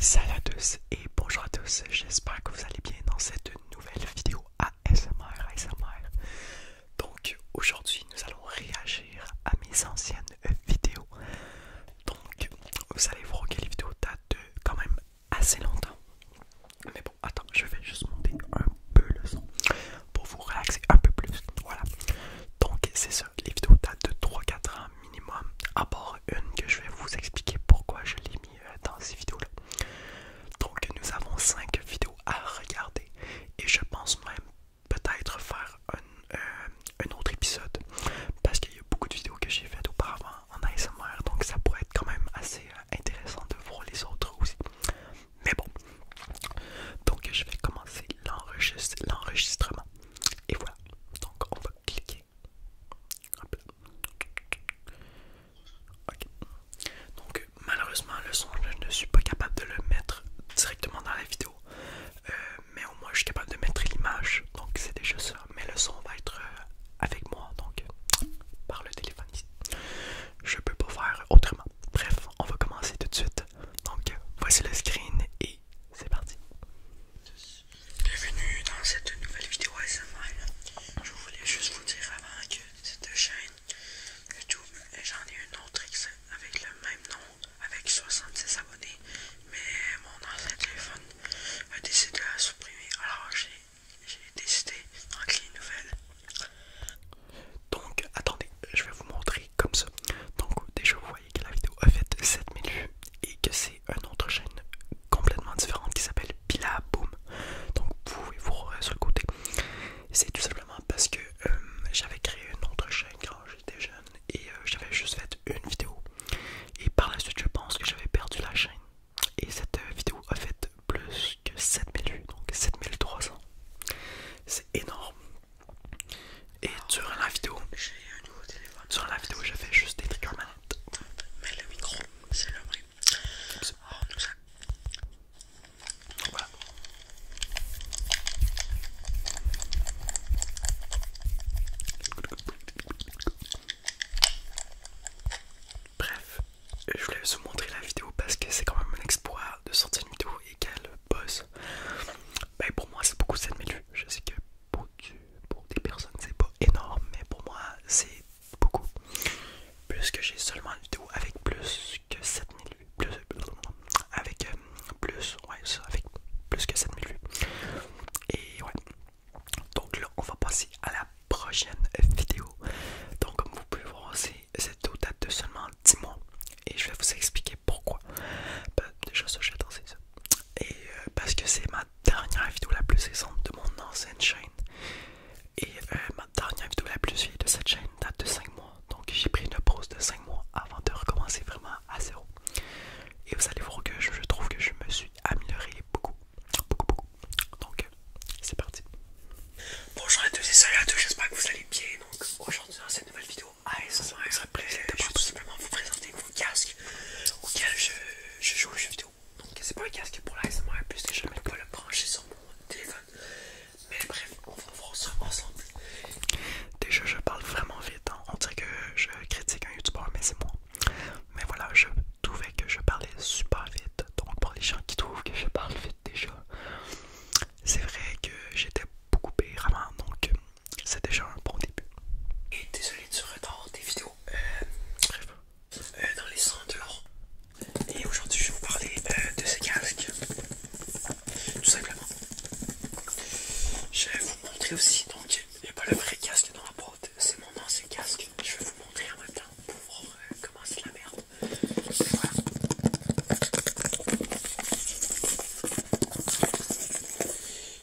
Salut à tous et bonjour à tous, j'espère que vous allez bien dans cette nouvelle vidéo ASMR ASMR. Donc aujourd'hui nous allons réagir à mes anciennes vidéos. Donc vous allez voir que les vidéos datent quand même assez longtemps. Mais bon attends, je vais juste monter un peu le son pour vous relaxer un peu plus. Voilà. Donc c'est ça, les vidéos datent de 3-4 ans minimum, à une que je vais vous expliquer pourquoi je l'ai mis euh, dans ces vidéos-là. Donc nous avons cinq vidéos à regarder et je pense même peut-être faire un, euh, autre épisode parce qu'il y a beaucoup de vidéos que j'ai faites auparavant en ASMR donc ça pourrait être quand même assez euh, intéressant de voir les autres aussi. Mais bon, donc je vais commencer l'enregistrement et voilà, donc on va cliquer. Ok. Donc malheureusement le son je ne suis pas capable de le mettre directement dans la vidéo. Euh, mais au moins je suis capable de mettre l'image. Donc c'est déjà ça. Mais le son va être euh, avec moi. Donc par le téléphone ici. Je peux pas faire autrement. Bref, on va commencer tout de suite. Donc voici le screen et c'est parti. Bienvenue dans cette nouvelle vidéo ASMR. Je voulais juste vous dire avant que cette chaîne YouTube, j'en ai une autre avec le même nom, avec 76 abonnés, mais mon ancien téléphone a décidé de la supprimer. Alors j'ai décidé d'en créer une nouvelle. Donc attendez, je vais vous montrer comme ça. Donc déjà vous voyez que la vidéo a fait 7000 vues et que c'est une autre chaîne complètement différente qui s'appelle Pilaboom. Donc vous pouvez vous voir sur le côté. C'est tout simplement parce que euh, j'avais créé une autre chaîne quand j'étais jeune et euh, j'avais juste fait une vidéo. Et par la suite je pense que j'avais perdu la chaîne. Et cette euh, vidéo a fait plus que 7000 vues, donc 7300. C'est énorme. Et durant ah, la vidéo, j'ai un nouveau téléphone. Durant la vidéo, je juste des triggers manettes. Mais le micro, c'est le bruit. Oh, nous ça. Voilà. Bref, je voulais vous montrer la vidéo parce que c'est quand même un exploit de sortir une vidéo et qu'elle bosse. Ben, pour moi c'est beaucoup 7000 vues. Je sais que pour, pour des personnes c'est pas énorme, mais pour moi c'est beaucoup. Plus que j'ai seulement une vidéo avec plus que 7000 vues. avec euh, plus, avec plus que 7000 vues. Et ouais. Donc là, on va passer à la prochaine vidéo. Donc comme vous pouvez voir, cette vidéo date de seulement 10 mois et je vais vous expliquer pourquoi. Bah, déjà, ça j'ai ça. Et euh, parce que c'est ma dernière vidéo la plus récente de mon ancienne chaîne. Et euh, ma dernière vidéo la plus vieille de cette chaîne date de 5 mois. Donc j'ai pris une pause de 5 mois avant de recommencer vraiment à zéro. Et vous allez voir que je, trouve que je me suis amélioré beaucoup. Beaucoup, beaucoup. Donc c'est parti. Bonjour à tous et salut à tous, j'espère que vous allez bien. Donc aujourd'hui dans cette nouvelle vidéo ASMR, ça de simplement vous présenter mon casque auquel je, je joue aux jeux vidéo. Donc c'est pas un casque pour l'ASMR puisque je ne peux pas le brancher sur mon téléphone. Mais bref, on va voir ça ensemble. Déjà je parle vraiment vite, hein. on dirait que je critique un youtubeur mais c'est moi. Mais voilà, je trouvais que je parlais super vite. Donc pour les gens qui trouvent que je parle vite déjà, c'est vrai que j'étais beaucoup payé vraiment donc c'est déjà un bon début. Et désolé de ce retard des vidéos. Euh, bref. Euh, dans les 100 Et aujourd'hui, je vais vous parler euh, de ces casques. Tout simplement. Je vais vous montrer aussi, donc il n'y a pas le vrai casque dans la boîte, c'est mon ancien casque. Je vais vous montrer en même temps pour commencer comment c'est la merde.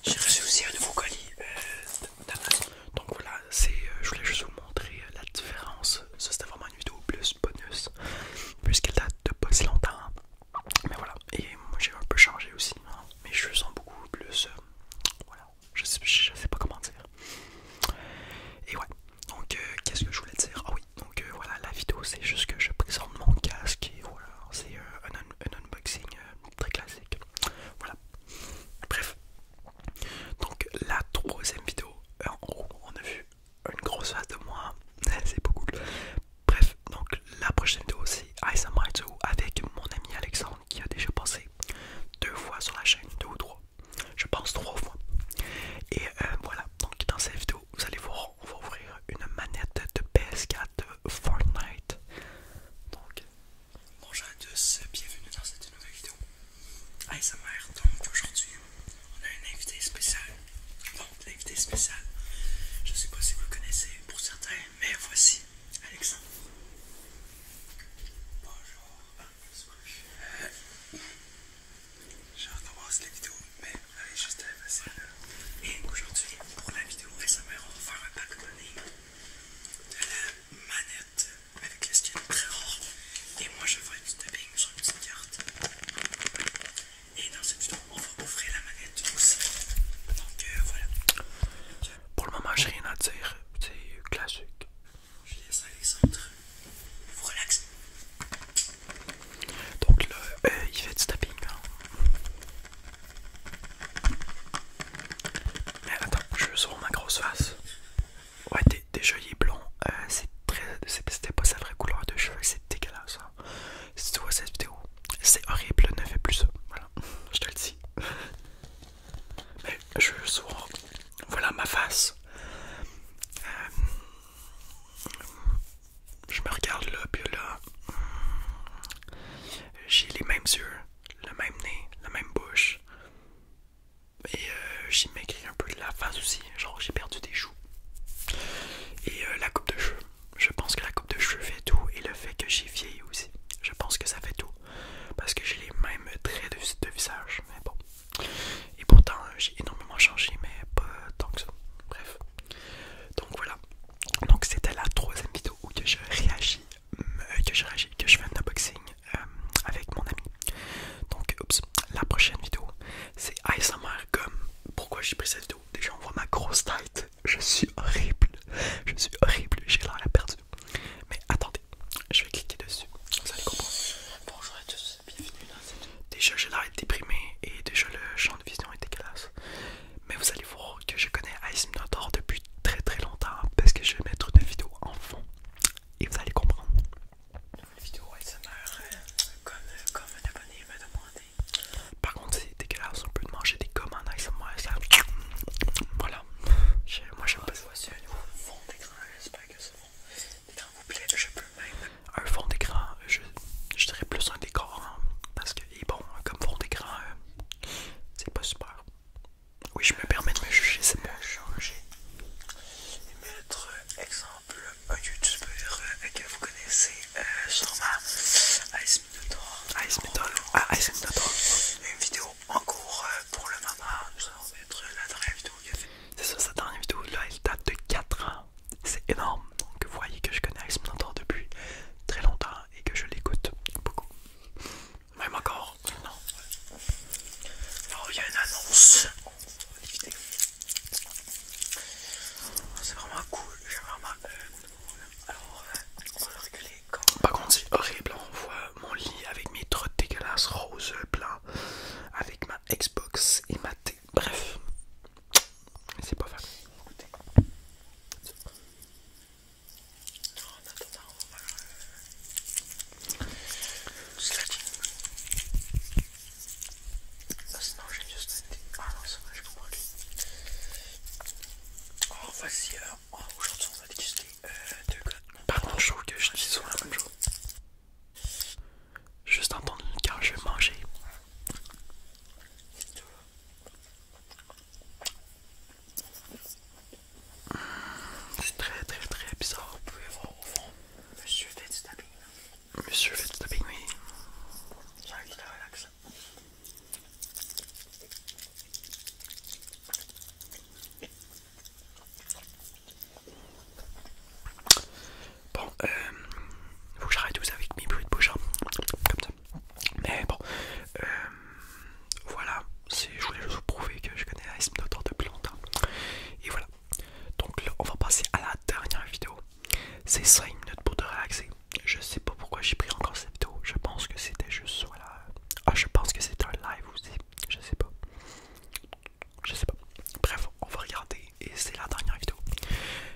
J'ai reçu aussi un nouveau colis euh, Donc voilà, c'est, euh, je voulais juste vous montrer euh, la différence. Ça c'était vraiment une vidéo plus bonus, puisqu'elle date de pas si longtemps. Mais voilà, et moi j'ai un peu changé aussi. Hein. Mais je cheveux sont beaucoup plus... voilà, je sais, sais pas comment dire. Et ouais, donc qu'est-ce que je voulais dire Ah oui, donc euh, voilà, la vidéo c'est juste que je présente mon casque et voilà, c'est euh, un, unboxing euh, très classique. Voilà, bref. Donc la troisième vidéo, en gros, on a vu une grosse face de moi, c'est beaucoup Bref, donc la prochaine vidéo c'est ASMR avec mon ami Alexandre qui a déjà pensé deux fois sur la chaîne, deux ou trois, je pense trois fois. Et voilà, donc dans cette vidéo vous allez voir, on va ouvrir une manette de PS4 de Fortnite. Donc, bonjour à tous, bienvenue dans cette nouvelle vidéo. ASMR donc aujourd'hui, on a une invité spécial. Bon, l'invité spécial, je sais pas si vous le connaissez pour certains, mais voici Alexandre. Bonjour. Euh, je recommence la vidéo, mais elle est juste à passer là. Et aujourd'hui, pour la vidéo SMR, on va faire un pack de la manette avec les skin très rares. Et moi, je ferai du tapping sur une petite carte. Et dans cette vidéo, on va ouvrir la manette aussi. Donc euh, voilà. Pour le moment, j'ai rien à dire. C'est classique. Je laisse relax Donc là euh, il fait du tapping hein. Mais attends, je veux ma grosse face. Ouais, des jolies blonds, euh, c'était pas sa vraie couleur de cheveux, c'est dégueulasse. Hein. Si tu vois cette vidéo, c'est horrible, ne fais plus ça. Voilà, je te le dis. Mais je veux Voilà ma face. Euh, je me regarde là, puis là, j'ai les mêmes yeux, le même nez, la même bouche. Et euh, j'ai maigri un peu de la face aussi, genre j'ai perdu des joues. Et euh, la coupe de cheveux. Je pense que la coupe de cheveux fait tout et le fait que j'ai vieilli aussi. Je pense que ça fait tout. Parce que j'ai les mêmes traits de, de visage. Mais bon. Et pourtant, euh, j'ai énormément changé, mais pas tant que ça. Bref. Donc voilà. Donc c'était la troisième vidéo où que je réagis, euh, que je réagis, que je fais un unboxing euh, avec mon ami. Donc, oups, la prochaine vidéo, c'est ASMR Gum. Pourquoi j'ai pris cette vidéo Déjà, on voit ma grosse tête. Je suis horrible. Je suis horrible. J'ai l'air perdu. Mais attendez, je vais cliquer dessus. Vous allez comprendre. Bonjour à tous bienvenue dans cette... Déjà j'ai l'air déprimé et déjà le champ de vision est dégueulasse. Mais vous allez voir que je connais Ice Minotaur depuis très très longtemps parce que je vais mettre une vidéo en fond et vous allez comprendre. Une vidéo ASMR comme, un abonné me demandé Par contre c'est dégueulasse, on peut manger des commandes ASMR ça... Voilà. Moi j'aime pas ça. Voici un nouveau fond d'écran, j'espère que ça je Un fond d'écran, je, dirais plus un décor, hein, parce que, bon, comme fond d'écran, euh, c'est pas super. Oui, je me permets de me juger, c'est bon. Changer et mettre, exemple, un youtubeur euh, que vous connaissez euh, sûrement, Ice Minotaur. Ice ah, Une vidéo en cours pour le moment. Nous allons mettre la c'est ça, sa dernière vidéo là, elle date de 4 ans. C'est énorme. Donc vous voyez que je connais Alex depuis très longtemps et que je l'écoute beaucoup. Même encore. Non. Oh, alors il y a une annonce. Ah, c'est vraiment cool. J'ai vraiment. Euh, alors, on va reculer. Comme... Pas contre, c'est horrible. On voit euh, mon lit avec mes trottes dégueulasses roses avec ma Xbox et ma T, Bref, c'est pas facile. Écoutez. Ah, non, on va j'ai juste Oh, aujourd'hui, on va déguster euh, deux Par que je souvent la même Juste entendre une car je vais manger. tout. Hmm, c'est très très très bizarre. Vous pouvez voir au fond, monsieur fait du tapping. Monsieur fait du tapping, oui. J'ai envie relaxer. Bon, euh, faut que j'arrête ça avec mes bruits de bouche, hein. Mais bon, euh, voilà, je voulais juste vous prouver que je connais la de depuis longtemps. Et voilà, donc on va passer à la dernière vidéo. C'est 5 minutes pour te relaxer. Je sais pas pourquoi j'ai pris encore cette vidéo. Je pense que c'était juste, voilà. Ah, je pense que c'est un live aussi. Je sais pas. Je sais pas. Bref, on va regarder et c'est la dernière vidéo.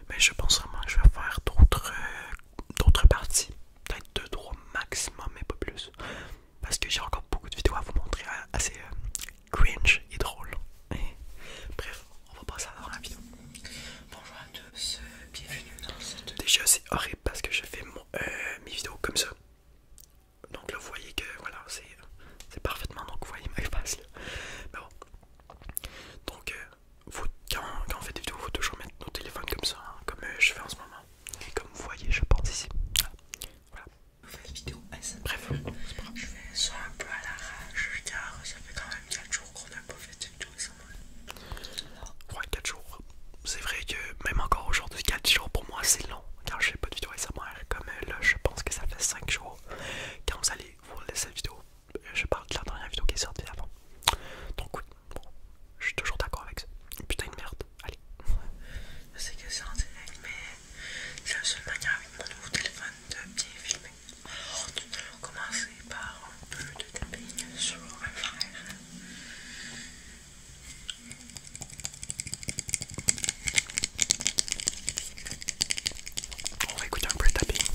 Mais je pense vraiment que je vais faire d'autres euh, d'autres parties. Peut-être deux, 3 maximum, et pas plus. Parce que j'ai encore beaucoup de vidéos à vous montrer euh, assez euh, cringe et drôle. Eh. bref, on va passer à la vidéo. Bonjour à tous, bienvenue dans cette. Déjà, c'est horrible parce que je fais mes vidéos comme ça donc là vous voyez que voilà c'est parfaitement donc vous voyez ma face là mais bon donc euh, quand, on fait des vidéos faut toujours mettre nos téléphones comme ça hein, comme euh, je fais en ce moment et comme vous voyez je pense ici voilà vidéo ASMR bref je fais ça un peu à l'arrache car ça fait quand même 4 jours qu'on n'a pas fait de vidéo ASMR ouais 4 jours c'est vrai que même encore aujourd'hui, 4 jours pour moi c'est long car je fais pas de vidéo SMR. Comme euh, là, je pense que ça fait 5 jours. Quand vous allez vous laisser cette vidéo, euh, je parle de la dernière vidéo qui est sortie avant. Donc, oui, bon, je suis toujours d'accord avec ça. Putain de merde, allez. Je sais que c'est en direct, mais c'est la seule manière avec mon nouveau téléphone de bien filmer. Oh, tout d'abord, commencer par un peu de tapping sur un frère. On va écouter un peu le tapping.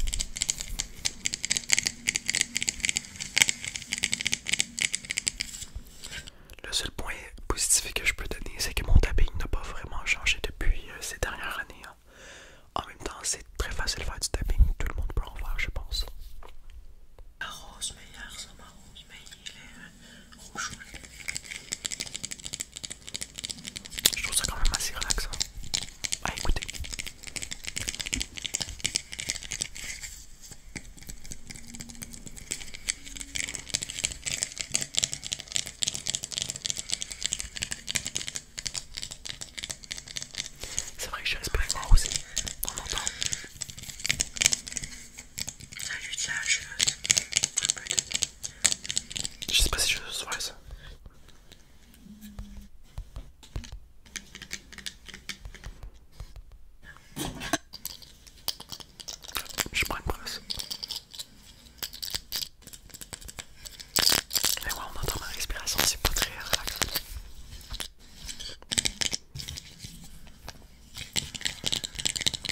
Le seul point positif que je peux donner, c'est que mon tapping n'a pas vraiment changé depuis euh, ces dernières années. Hein. En même temps, c'est très facile de faire du tapping, tout le monde peut en faire, je pense il est rouge. Je trouve ça quand même assez relaxant Bah écoutez. C'est vrai que je suis moi aussi, on longtemps un lutte là, je... je sais pas si je saurais ça. Je prends une brosse. ouais, on entend ma respiration, c'est pas très relaxant.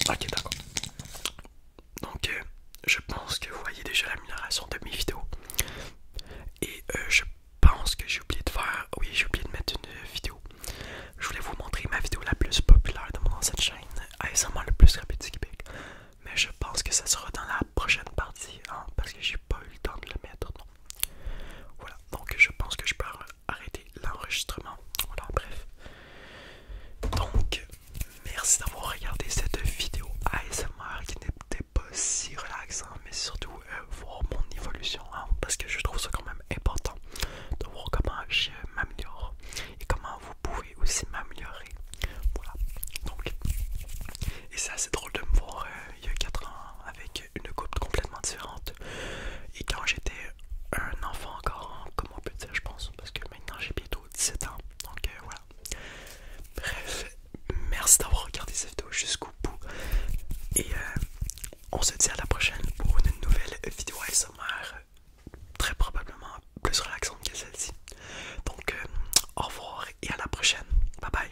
Ok d'accord. Donc euh, je pense que vous voyez déjà l'amélioration de mes vidéos. Et euh, je pense que j'ai oublié de faire... Oui j'ai oublié de mettre une euh, vidéo. Je voulais vous montrer ma vidéo la plus populaire de mon ancienne chaîne. sûrement le plus rapide du Québec. Mais je pense que ça sera dans la prochaine partie hein, parce que j'ai pas eu le temps de le mettre voilà, donc je pense que je peux arrêter l'enregistrement. Voilà, bref. Donc, merci d'avoir regardé cette vidéo ASMR qui n'était pas si relaxant, mais surtout euh, voir mon évolution, hein, parce que je trouve ça quand même important de voir comment je m'améliore et comment vous pouvez aussi m'améliorer. Voilà, donc, et c'est assez drôle de me voir euh, il y a 4 ans avec une coupe complètement différente. Et quand j'étais un enfant encore, comment on peut dire, je pense, parce que maintenant j'ai bientôt 17 ans. Donc euh, voilà. Bref, merci d'avoir regardé cette vidéo jusqu'au bout. Et euh, on se dit à la prochaine pour une nouvelle vidéo sommaire très probablement plus relaxante que celle-ci. Donc euh, au revoir et à la prochaine. Bye bye.